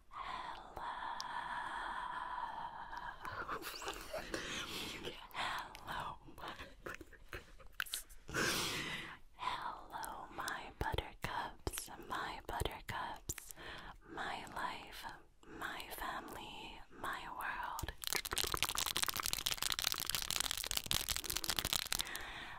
Hello. Hello, my buttercups. Hello, my buttercups, my buttercups, my life, my family, my world.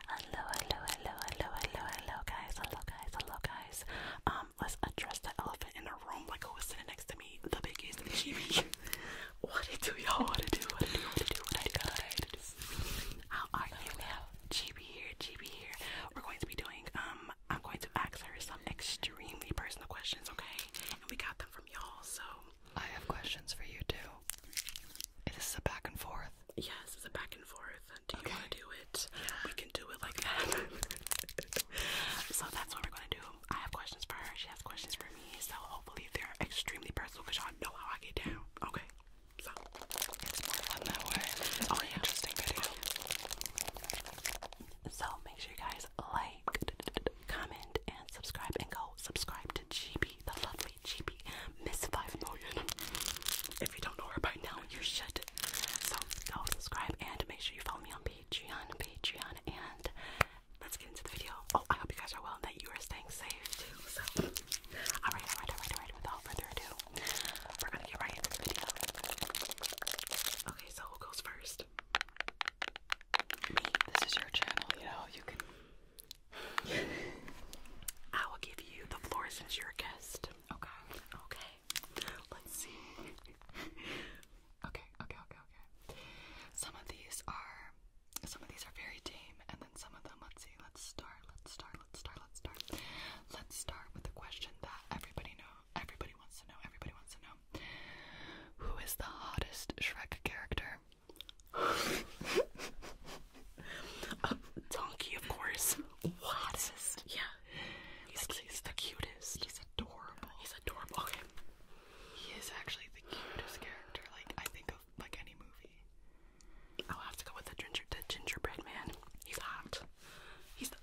Hello, hello, hello, hello, hello, hello, guys, hello, guys, hello, guys. Um, um, let's address the elephant in the room, like who sitting next to me, the biggest chibi. what it do, y'all? What it do? What it do? What it do? What it do? What do? How are you? We have here, chibi here. We're going to be doing, um, I'm going to ask her some extremely personal questions, okay? And we got them from y'all, so. I have questions for you too. Is a back and forth? Yes, it's a back and forth. Do you want to do it? We can do it like that. so that's what we're going to do. I have questions for her. She has questions for me. So hopefully they're extremely personal because y'all know how I get down. Okay. So it's more fun that way. It's oh, interesting video. So make sure you guys like, comment, and subscribe. And go subscribe to GB, the lovely GB, Miss Five Million. If you don't know her by now, Oh, you should. So go subscribe and make sure you follow me on Patreon, Patreon, and let's get into the video. Oh, I hope you guys are well and that you are staying safe too. So, alright, alright, alright, alright. Without further ado, we're gonna get right into the video. Okay, so who goes first? Me. This is your channel, you know. You can. I will give you the floor since you're a guest. Okay. Okay let's see. okay, okay, okay, okay. Some of these are, some of these are very tame, and then some of them. Let's see. Let's start. Let's start. Let's start. Let's start. Let's start with the question that everybody know. Everybody wants to know. Everybody wants to know. Who is the hottest Shrek character? donkey, of course. What? Hottest. Yeah. He's, the cutest. He's adorable. He's adorable. Okay. He is actually the cutest character, like, I think of, like, any movie. I'll have to go with the, ginger, the gingerbread man. He's hot. He's the...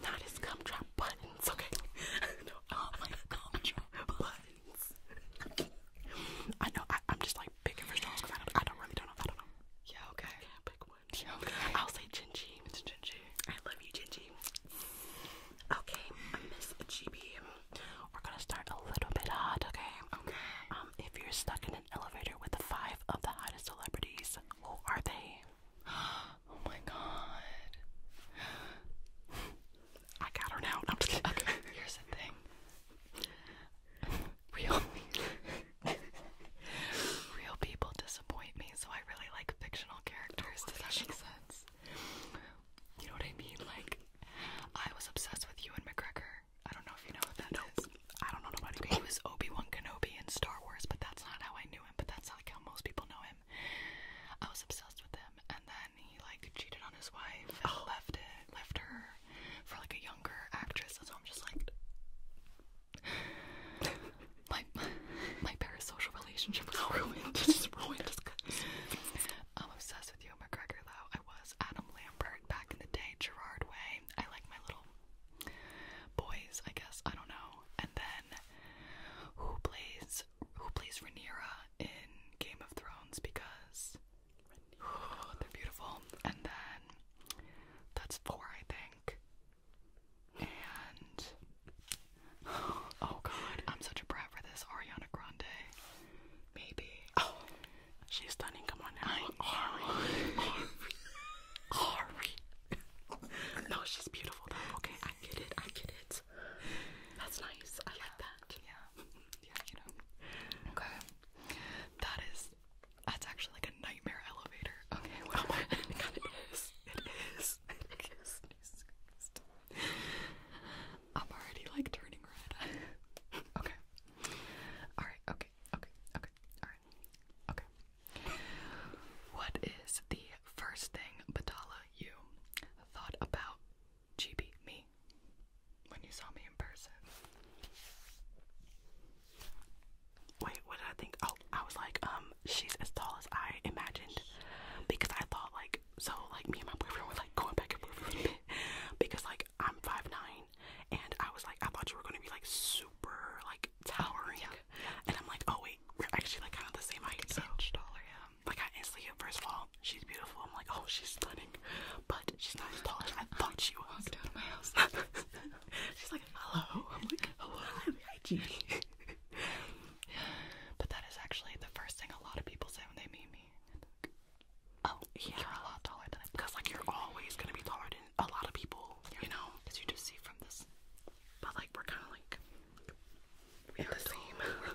Not his gumdrop buttons, okay? no, oh my gumdrop buttons. I know, I, I'm just, like, picking for straws because I don't, I don't really don't know, I don't know. Yeah, okay. I can't pick one. I'll say Gingy. It's Gingy. I love you, Gingy. Okay, Miss GB, we're gonna start a little bit hot, okay? Okay. Um, if you're stuck in an elevator with the five of the hottest celebrities, who are they? oh my god. I got her now. I'm just kidding. Okay, here's the thing real real people disappoint me, so I really like fictional characters. Does oh, that make sense? You know what I mean? Like I was obsessed with you and McGregor. I don't know if you know what that is. I don't know nobody. He was Obi-Wan Kenobi in Star Wars, but that's not how I knew him, but that's like how most people know him. I was obsessed with him and then he like cheated on his wife and oh. left it left her for like a younger actress, so I'm just like my my parasocial relationship was ruined. Just ruined. Just I'm obsessed with you, McGregor. Though I was Adam Lambert back in the day, Gerard Way. I like my little boys. I guess I don't know. And then who plays who plays Rhaenyra in Game of Thrones? Because whew, they're beautiful. And then that's four, I think. And oh god, I'm such a brat for this. Ariana Grande, maybe. Oh, she's stunning. Come on now, Ari. Ari. No, she's beautiful. Okay, I get it. I get it. That's nice. I like that. Yeah. Yeah, you know. Okay. That is that's actually like a nightmare elevator. Okay, well, oh my God, it is. It is. It is. I'm already like turning red. okay. Alright, okay, okay, okay, alright, okay. What is the first thing, Batala, you thought about GB, me, when you saw me in person? Wait, what did I think? Oh, I was like, um, she's as tall as I imagined because I thought like so like me and my boyfriend were like going back and forth because like I'm five nine and I was like I thought you were gonna be like super like towering and I'm like oh wait we're actually like kind of the same height so inch taller yeah like I instantly first of all she's beautiful I'm like oh she's stunning but she's not as tall as I thought she was. Walked out of my house. she's like hello. I'm like, hello, but that is actually the first thing a lot of people say when they meet me. Oh, yeah. You're a lot taller than Because, like, you're always going to be taller than a lot of people, you know? Because you just see from this. But, like, we're kind of like. We're the same.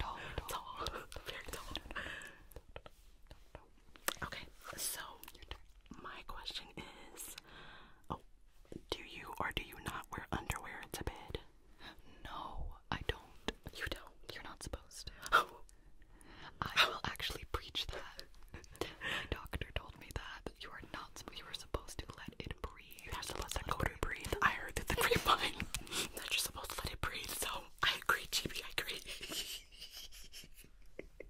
Okay, so. My question is Oh, do you or do you not wear underwear to bed? No, I don't. You don't. You're not supposed to. Oh. I will actually preach that. My doctor told me that you are not you are supposed to let it breathe. You're supposed to let it breathe. I heard that the grapevine that you supposed to let it breathe. So I agree, GB, I agree.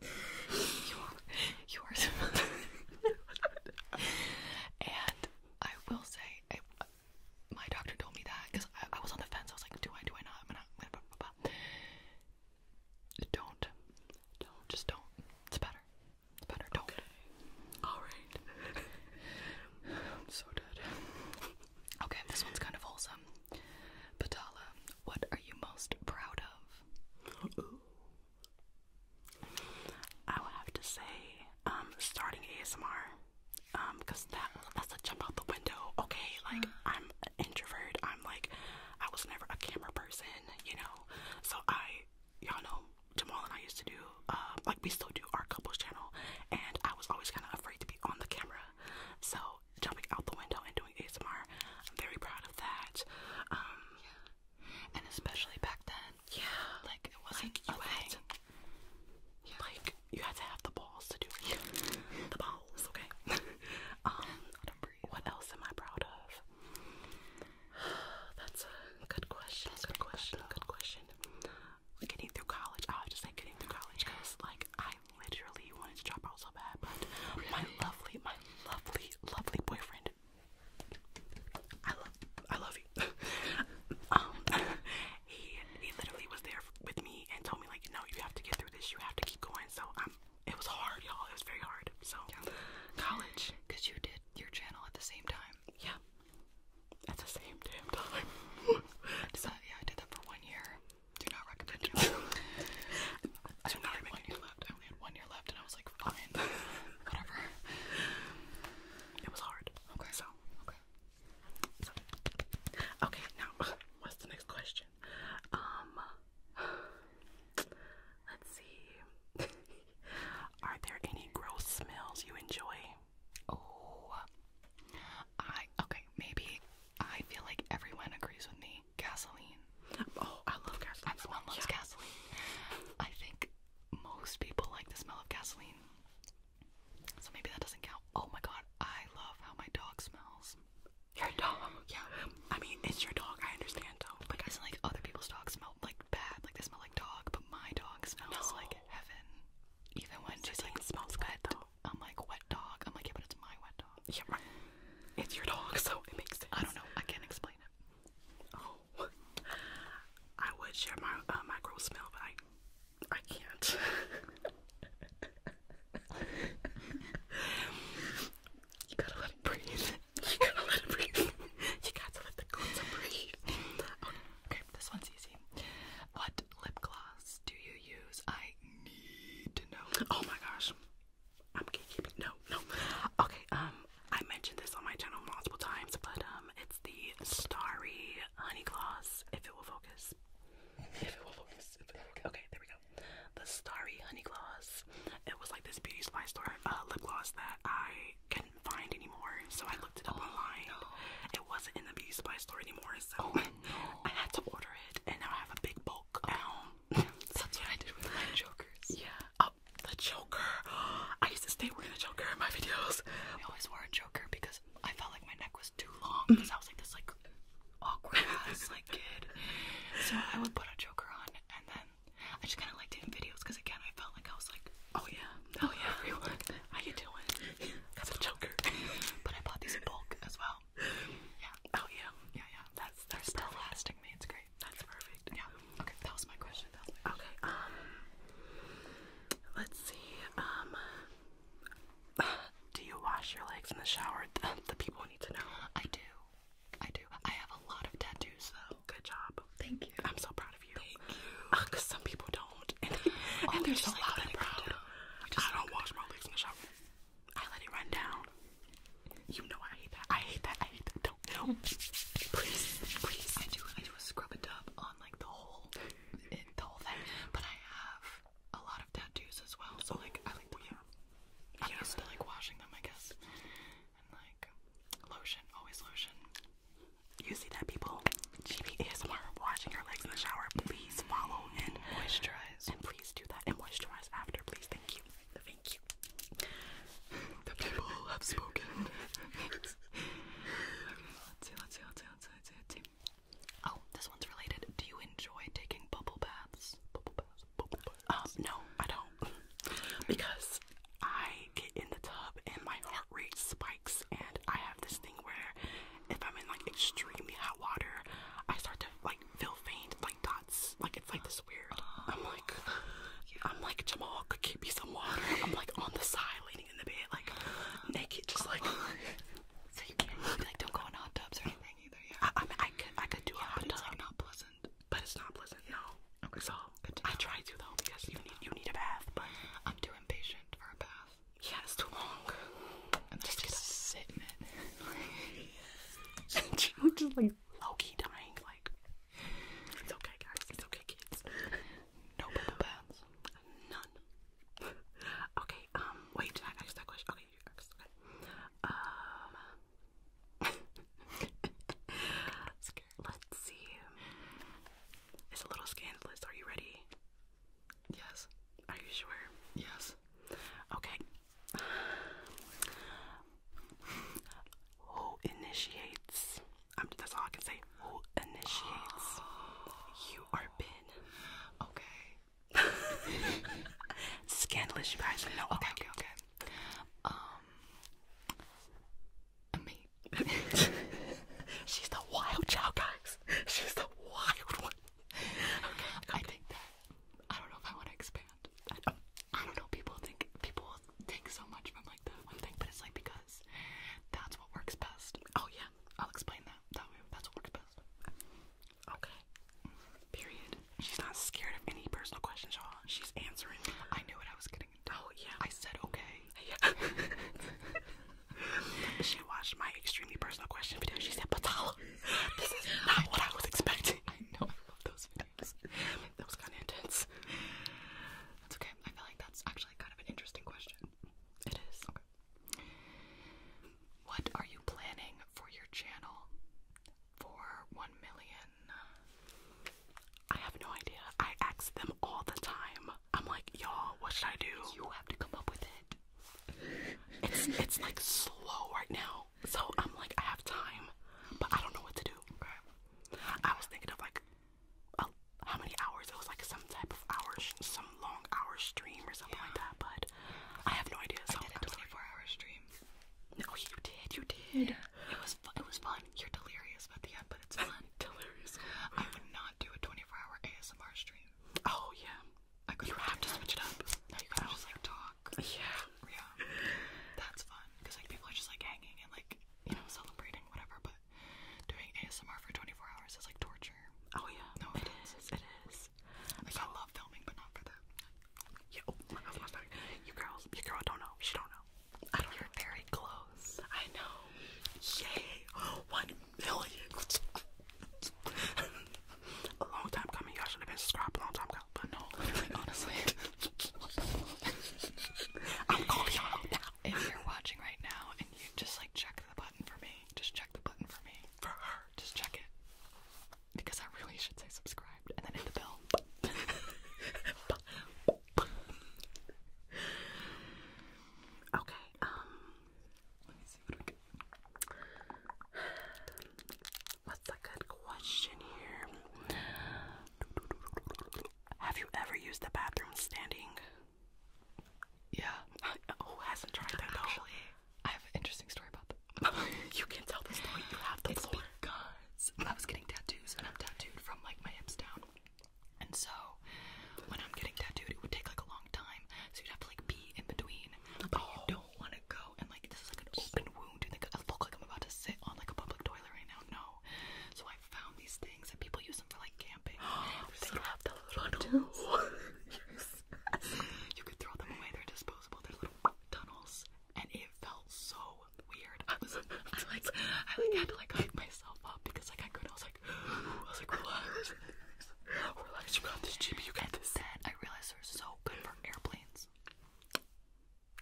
you are, you are and I will say, I, my doctor told me that because I, was on the fence. I was like, do I, do I not? I'm not. Blah, blah, blah. Don't, don't, just don't. It's better. It's better. Don't. All so dead. Okay, this one's kind of wholesome. Patala, what are you most proud of? I would have to say, um, starting ASMR, um, because that that's a jump out the window. Okay, like mm. I'm an introvert. I'm like, I was never a camera person, you know. So I, y'all know, Jamal and I used to do, uh, like we still do our couples channel, and I was always kind of afraid to be on the camera. So jumping out the window and doing ASMR, I'm very proud of that. Um, and especially back then. Yeah, like it wasn't like you had yeah. like you had to have the balls to do it. the balls, okay. um, what else am I proud of? That's a good question. That's good question. Good question. Getting through college. I have to say getting through college because like I literally wanted to drop out so bad, but my lovely, my lovely, lovely boyfriend I love, I love you. um, he he literally was there with me and told me like, no, you have to get through this. You have to keep going. So um, it was hard, y'all. It was very hard. So college, cause you did your channel at the same time. Yeah, at the same damn time. yeah, I did that for one year. Do not recommend. I do not recommend you left. I had one year left, and I was like, fine, whatever. It was hard. Okay, so okay, okay. Now, what's the next question? Um, let's see. Are there any gross smells you enjoy? Oh, I okay. Maybe I feel like everyone agrees with me gasoline. Oh, I love gasoline. Everyone loves gasoline. I think most people like the smell of gasoline. So maybe that doesn't count. Oh my god, I love how my dog smells. Your dog? Yeah. I mean, it's your dog. I understand But isn't like other people's dogs smell like bad? Like they smell like dog, but my dog smells like heaven. Even when she's like smells good though. I'm like wet dog. I'm like yeah, but it's my wet dog. Yeah, right. It's your dog, so it makes sense. I don't know. I can't explain it. Oh, I would share my uh, my gross smell, but I I can't. you gotta let it breathe. You gotta let it breathe. you gotta let the cleanser breathe. okay, this one's easy. What lip gloss do you use? I need to know. Oh my gosh. I'm keeping No, no. Okay, um, I mentioned this on my channel multiple times, but um, it's the Starry Honey Gloss. If it will focus. If it will focus. If it will, focus. okay, there we go. The Starry Honey Gloss. It was like this beauty supply store uh, lip gloss that I couldn't find anymore, so I looked it up oh, online. It wasn't in the beauty supply store anymore, so oh, I had to order it, and now I have a big bulk. Oh. Um, That's what I did with the jokers. Yeah. Oh, the joker. I used to stay wearing a joker in my videos. We always wore a joker because I felt like my neck was too long because mm. I was like this like awkward ass like kid. So I would put a joker on and then I just kind of liked doing videos because again I felt like I was like oh yeah oh, oh yeah everyone how you doing that's a joker. but I bought these in bulk as well. Yeah. Oh yeah. Yeah yeah. That's they're still lasting me. It's great that's perfect. Yeah. Okay, that was my question. That was my Okay. Um. Let's see. Um. Do you wash your legs in the shower? The people need to know. I do. I do. I have a lot of tattoos, though. Good job. Thank you. I'm so proud of you. Thank you. Uh, Cause some people don't, and, oh, they, are just like, loud and proud. I don't wash my legs in the shower. I let it run down. You know I hate that. I hate that. I hate that. Don't, no. Please, please. I do. I do a scrub a dub on like the whole, it, the whole thing. But I have a lot of tattoos as well, so like I like the yeah. I'm used to like washing them, I guess. And like lotion, always lotion. You see that people? GB ASMR washing your legs in the shower. Please follow and moisturize, and please do that and moisturize after. Please, thank you, thank you. The people have spoken. this one's related. Do you enjoy taking bubble baths? Bubble baths, um, no, I don't. because I get in the tub and my heart rate spikes, and I have this thing where if I'm in like extremely hot water, I start to like feel faint, like shots. Like it's like this weird. I'm like, I'm like Jamal could keep me some water. I'm like on the side, leaning in the bed, like naked, just like. so you can't really, like don't go in hot tubs or anything either. Yeah. I, I mean, I could, I could do yeah, a hot tub. It's like not pleasant. But it's not pleasant. No. Okay. So I try to though because you need, you need a bath. But I'm too impatient for a bath. Yeah, it's too long. And just, just sit in it. you just like Loki dying. Like, it's okay, guys. It's okay, kids. No bubble baths. None. okay. Um. Wait. Did I ask that question? Okay. Um. Let's see. It's a little scandalous. Are you ready? Yes. Are you sure? Yes. Okay who initiates? I'm, that's all I can say. Who initiates? You are Ben. Okay. Scandalous, you guys. No. Okay. Okay. Um. Me. She's the wild child, guys. She's the wild one. okay. I think that I don't know if I want to expand I don't, I don't know. People think people think so much from like that one thing, but it's like because that's what works best. Oh yeah, I'll explain that. That way, that's what works best. Okay. Period. She's not scared of any personal questions, y'all. She's answering. I knew what I was getting into. Oh yeah. I said okay. she watched my extremely personal question video. She said, "Patala, this is not what I was expecting." I know. I love those videos that was kind of intense. That's okay. I feel like that's actually kind of an interesting question. It is. Okay. What are you planning for your channel for 1 million? I have no idea. I ask them all the time. I'm like, y'all, what should I do? You have to come up with it. It's it's like slow right now. So I'm like I have time, but I don't know what to do. Okay. I was thinking of like a, how many hours. It was like some type of hours, some long hours stream or something like that. But I have no idea. I did a 24-hour stream. No, oh, you did. You did. Yeah. It was it was fun. You're delirious at the end, but it's fun. delirious. I would not do a 24-hour ASMR stream. Oh yeah. I could have to switch it up. No, you got just like talk. Yeah. Yeah. That's fun because like people are just like hanging and like you know, celebrating, whatever, but doing ASMR for 24 hours is like torture. Oh, yeah. No, it, it is. is. It is. Like, so, I love filming, but not for that. Yeah, oh, my God, my God. You girls, you girl don't know. She don't know. I don't You're know. very close. I know. Yay. One million. a long time coming. Y'all should have been subscribed a long time ago, but no. Literally, honestly. I'm calling you out now. If you're watching right now and you just like check the button for me, just check the button for me. For her. Just check it. Because I really should say subscribed and then hit the bell. okay, um What's a good question here? Have you ever used the bathroom standing? Yeah. Who hasn't tried that though? Actually, I have an interesting story about that. you can tell this story. You have the it's floor. Because I was getting tattoos, and I'm tattooed from like my hips down. And so, when I'm getting tattooed, it would take like a long time, so you'd have to like be in between. But you oh. don't want to go and like this is like an open wound. You think I look like I'm about to sit on like a public toilet right now? No. So I found these things and people use them for like camping. You could throw them away, they're disposable, they're little tunnels. And it felt so weird. I like, I like, had to like hype myself up because like I couldn't. I was like, I was like, relax, relax. You got this, Jimmy. You got this. set. I realized they're so good for airplanes.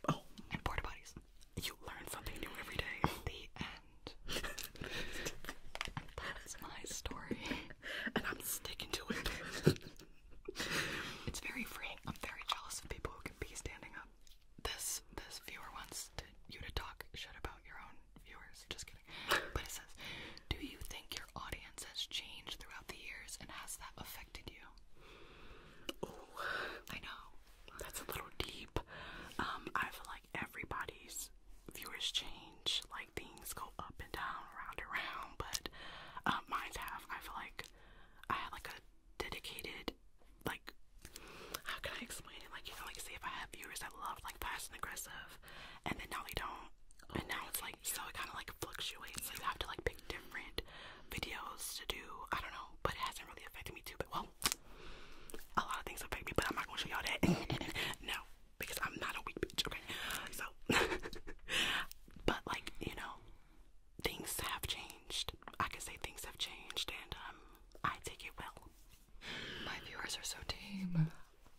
Oh. And porta potties. You learn something new every day. The end. That's my story. And I'm sticking to it. it's very freeing. I'm very jealous of people who can be standing up. This this viewer wants to, you to talk shit about your own viewers. Just kidding. But it says, do you think your audience has changed throughout the years and has that affected you? Ooh. I know. That's a little deep. Um, I feel like everybody's viewers change, like things go up and down, round and round, but uh, mine's have. I feel like I had like a dedicated, like, how can I explain it? Like, you know, like say if I have viewers that love like fast and aggressive, and then now they don't, and now it's like so it kind of like fluctuates. So you have to like pick different videos to do. I don't know, but it hasn't really affected me too. But well, a lot of things affect me, but I'm not gonna show y'all that. no, because I'm not a weak bitch, okay? So, but like, you know, things have changed. I can say things have changed, and um, I take it well. My viewers are so tame.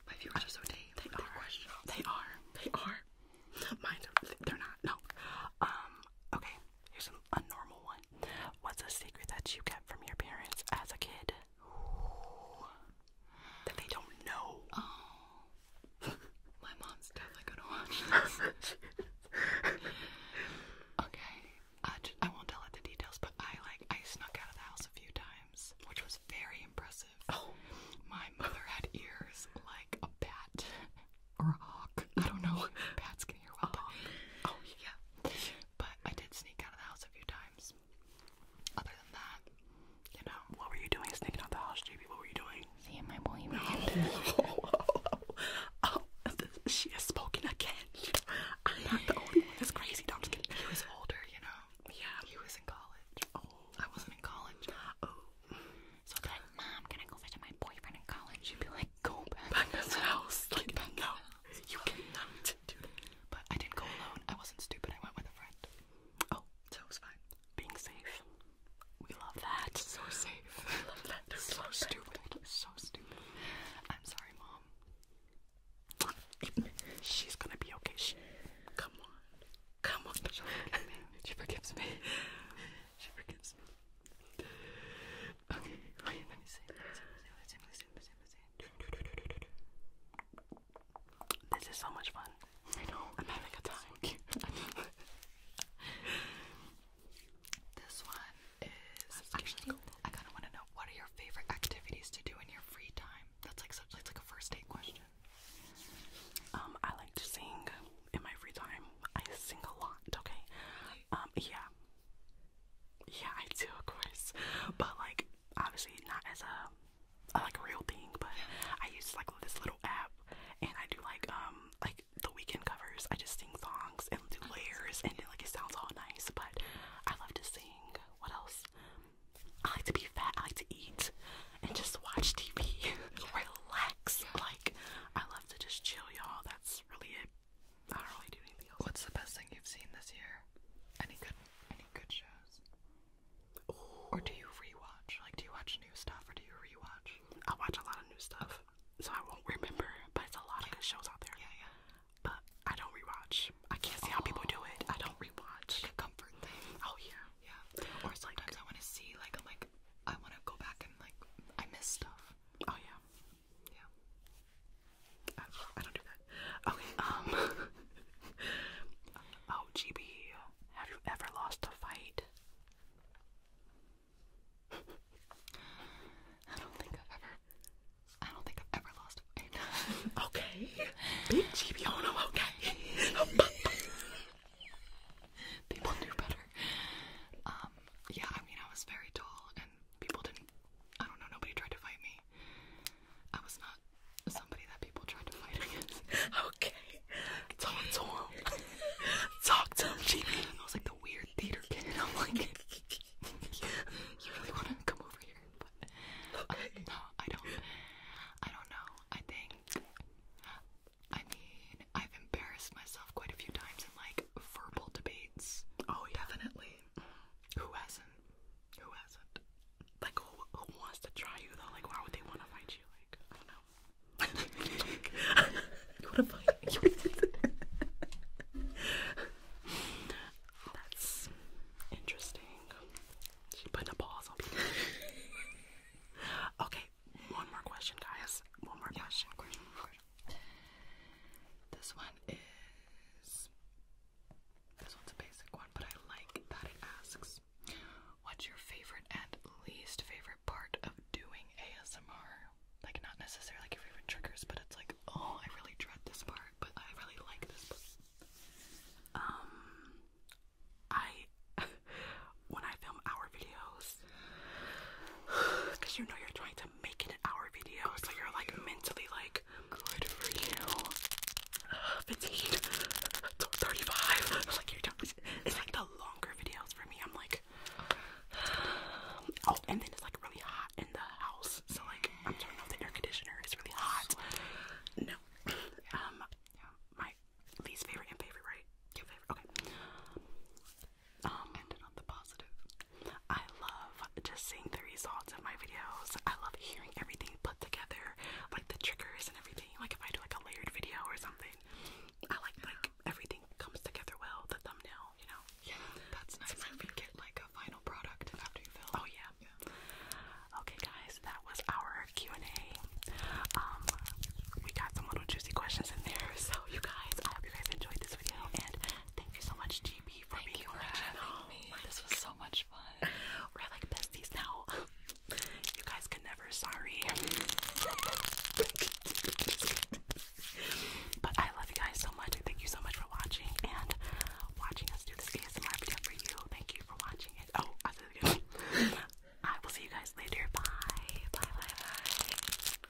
My viewers are so tame. They, are. They are. They are. Mine, they're not. No. Um. Okay. Here's a normal one. What's a secret that you kept from your parents as a kid? That they don't know. Oh. My mom's definitely gonna watch this. okay. I, just, I won't tell it the details, but I like I snuck out of the house a few times, which was very impressive. Oh. My mother had ears like a bat or a hawk. I don't know. Pat's gonna hear what uh-huh. Oh, yeah. But I did sneak out of the house a few times. Other than that, you know. What were you doing sneaking out the house, JB? What were you doing? Seeing my boyfriend. oh, she has spoken again. I'm not the only one that's crazy. No, He was older, you know. Yeah. He was in college. Oh. I wasn't in college. Oh. So I'd like, Mom, can I go visit my boyfriend in college? She'd be like, go back, to his house. you cannot do that. But I didn't go alone. I wasn't stupid. I went with a friend. Oh, so it was fine. Being safe. We love that. So safe. We love that. so stupid. So stupid. I'm sorry, mom. She's gonna be okay. She, come on. Come on. She forgives me. She forgives me. This is so much fun. I know. I'm having a time. this one is actually. I kind of want to know what are your favorite activities to do in your free time. That's like such like, like a first date question. Um, I like to sing in my free time. I sing a lot. Okay. Um, yeah. Yeah, I do, of course. But like, obviously not as a, a like real thing. But I use like this little app, and I do like um like the weekend covers. I just sing songs and do oh, layers, and then like it sounds all nice. But I love to sing. What else? I like to be fat. I like to eat and just watch TV, relax. Like I love to just chill, y'all. That's really it. What's the best thing you've seen this year? Any good any good shows? Or do you rewatch? Like do you watch new stuff or do you rewatch? I watch a lot of new stuff. So I won't remember, but it's a lot of good shows out there. Yeah, yeah. But I don't rewatch. I can't see how people do it. I don't rewatch. Like a comfort thing. Oh yeah. Yeah. Or sometimes I wanna see like I'm like I wanna go back and like I miss stuff. Oh yeah. Yeah. I, don't do that. Okay, um. oh, have you ever lost a fight? I don't think I've ever. I don't think I've ever lost a fight. okay. Big GB, oh no, okay. People knew better. Um, yeah, I mean, I was very tall and people didn't, I don't know, nobody tried to fight me. I was not somebody that people tried to fight against. okay. So and so, talk to him, Jimmy. I was like the weird theater kid. and I'm like, you really want to come over here? Uh, okay. no, I don't. I don't know. I think. I mean, I've embarrassed myself quite a few times in like verbal debates. Oh, definitely who hasn't? Who hasn't? Like, who, wants to try you though? Like, why would they want to fight you? Like, I don't know. you want to fight? That's interesting. She put a pause on people. okay, one more question, guys. One more question. This one is. This one's a basic one, but I like that it asks what's your favorite and least favorite part of doing ASMR? Like, not necessarily like your favorite triggers, but it's like, oh, I really dread this part, but I really like this Um, I, when I film our videos, because you know you're trying to make hour video, so you're like mentally like good for you. Uh, Like you're done. It's like the longer videos for me. I'm like, oh, and then it's like really hot in the house, so like I'm turning off the air conditioner. It's really hot. No, um, my least favorite and favorite, right? Your favorite, okay um, ended on the positive. I love just seeing the results of my videos. I love hearing everything put together, like the triggers and everything. Like if I do like a layered video or something, I like like everything comes together well. The thumbnail, you know. Yeah, that's nice. So you get like a final product after you film. Oh yeah. yeah. Okay, guys, that was our Q and A. Um, we got some little juicy questions in there. So you guys, I hope you guys enjoyed this video, and thank you so much to Thank you for this was so much fun. We're like besties now. you guys can never sorry. but I love you guys so much. Thank you so much for watching and watching us do this ASMR video for you. Thank you for watching it. Oh, I said it I will see you guys later. Bye. Bye. Bye. Bye.